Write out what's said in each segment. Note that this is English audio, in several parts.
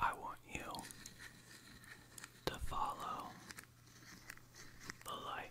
I want you to follow the light.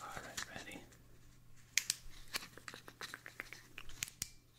All right, ready.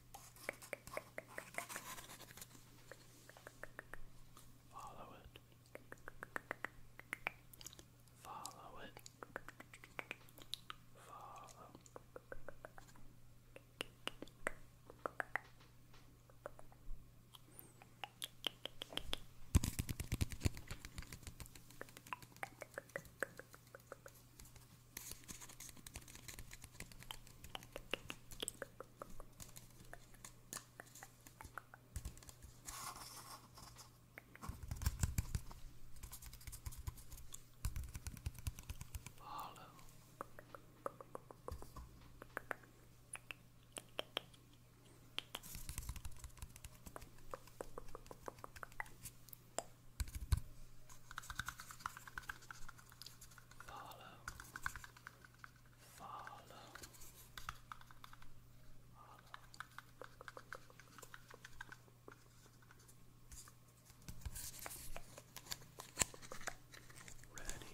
Follow it. Follow it. Follow. Follow. Follow. Follow follow, follow. Ready.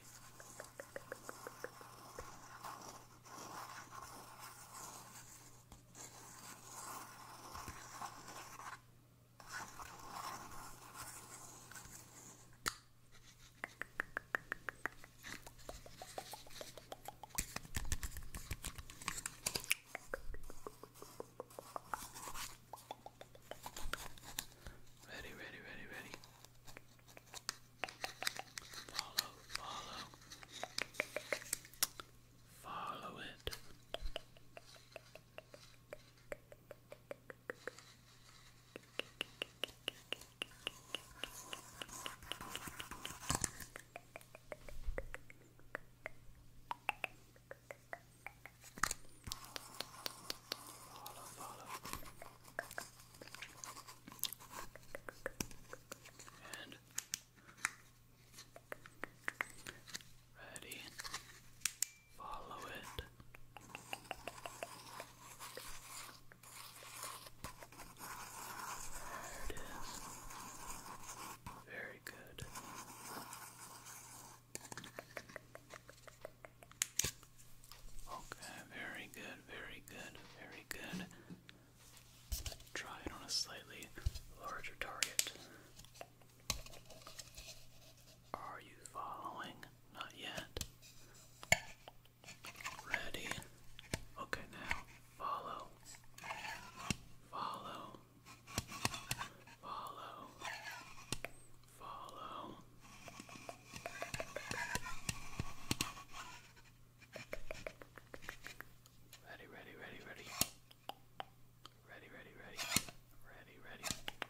Ready, ready, ready, ready. Follow, follow. Follow it. Follow, follow. And ready. Follow it. There it is. Very good. Okay, very good, very good, very good. Try it on a slightly larger target. Are you following? Not yet. Ready? Okay, now follow. Follow. Follow. Follow. Ready, ready, ready, ready. Ready, ready, ready. Ready, ready.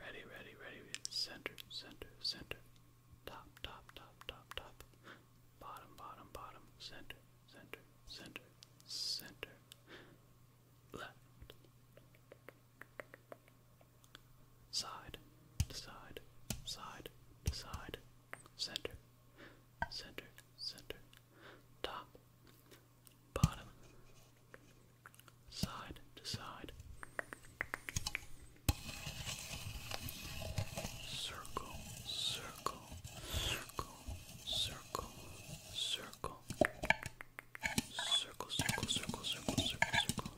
Ready, ready, ready. Center, center, center. Top, top, top, top, top. Bottom, bottom, bottom. Center, center, center, center. Left. Side, to side, side, to side. Center, center, center, top, bottom, side to side, circle, circle, circle, circle, circle, circle, circle, circle, circle, circle, circle. Circle,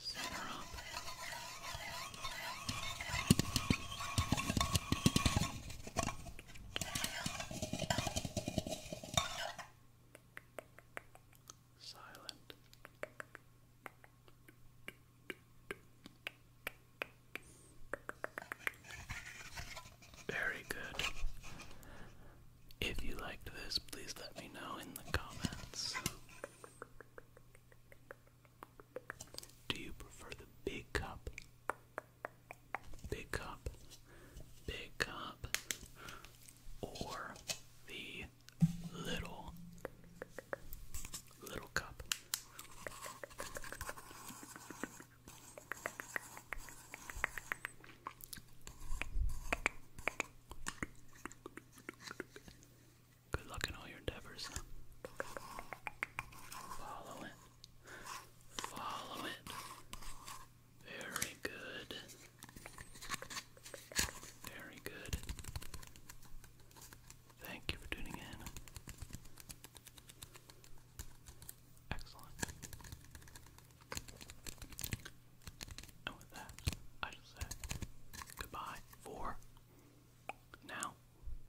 Set her up. Silent. Very good. If you liked this, please let me know in the comments. Do you prefer the big cup? Big cup, big cup, or the little, little cup? Good luck in all your endeavors. Follow it. Follow it. Very good. Very good. Thank you for tuning in. Excellent. And with that, I shall say goodbye for now.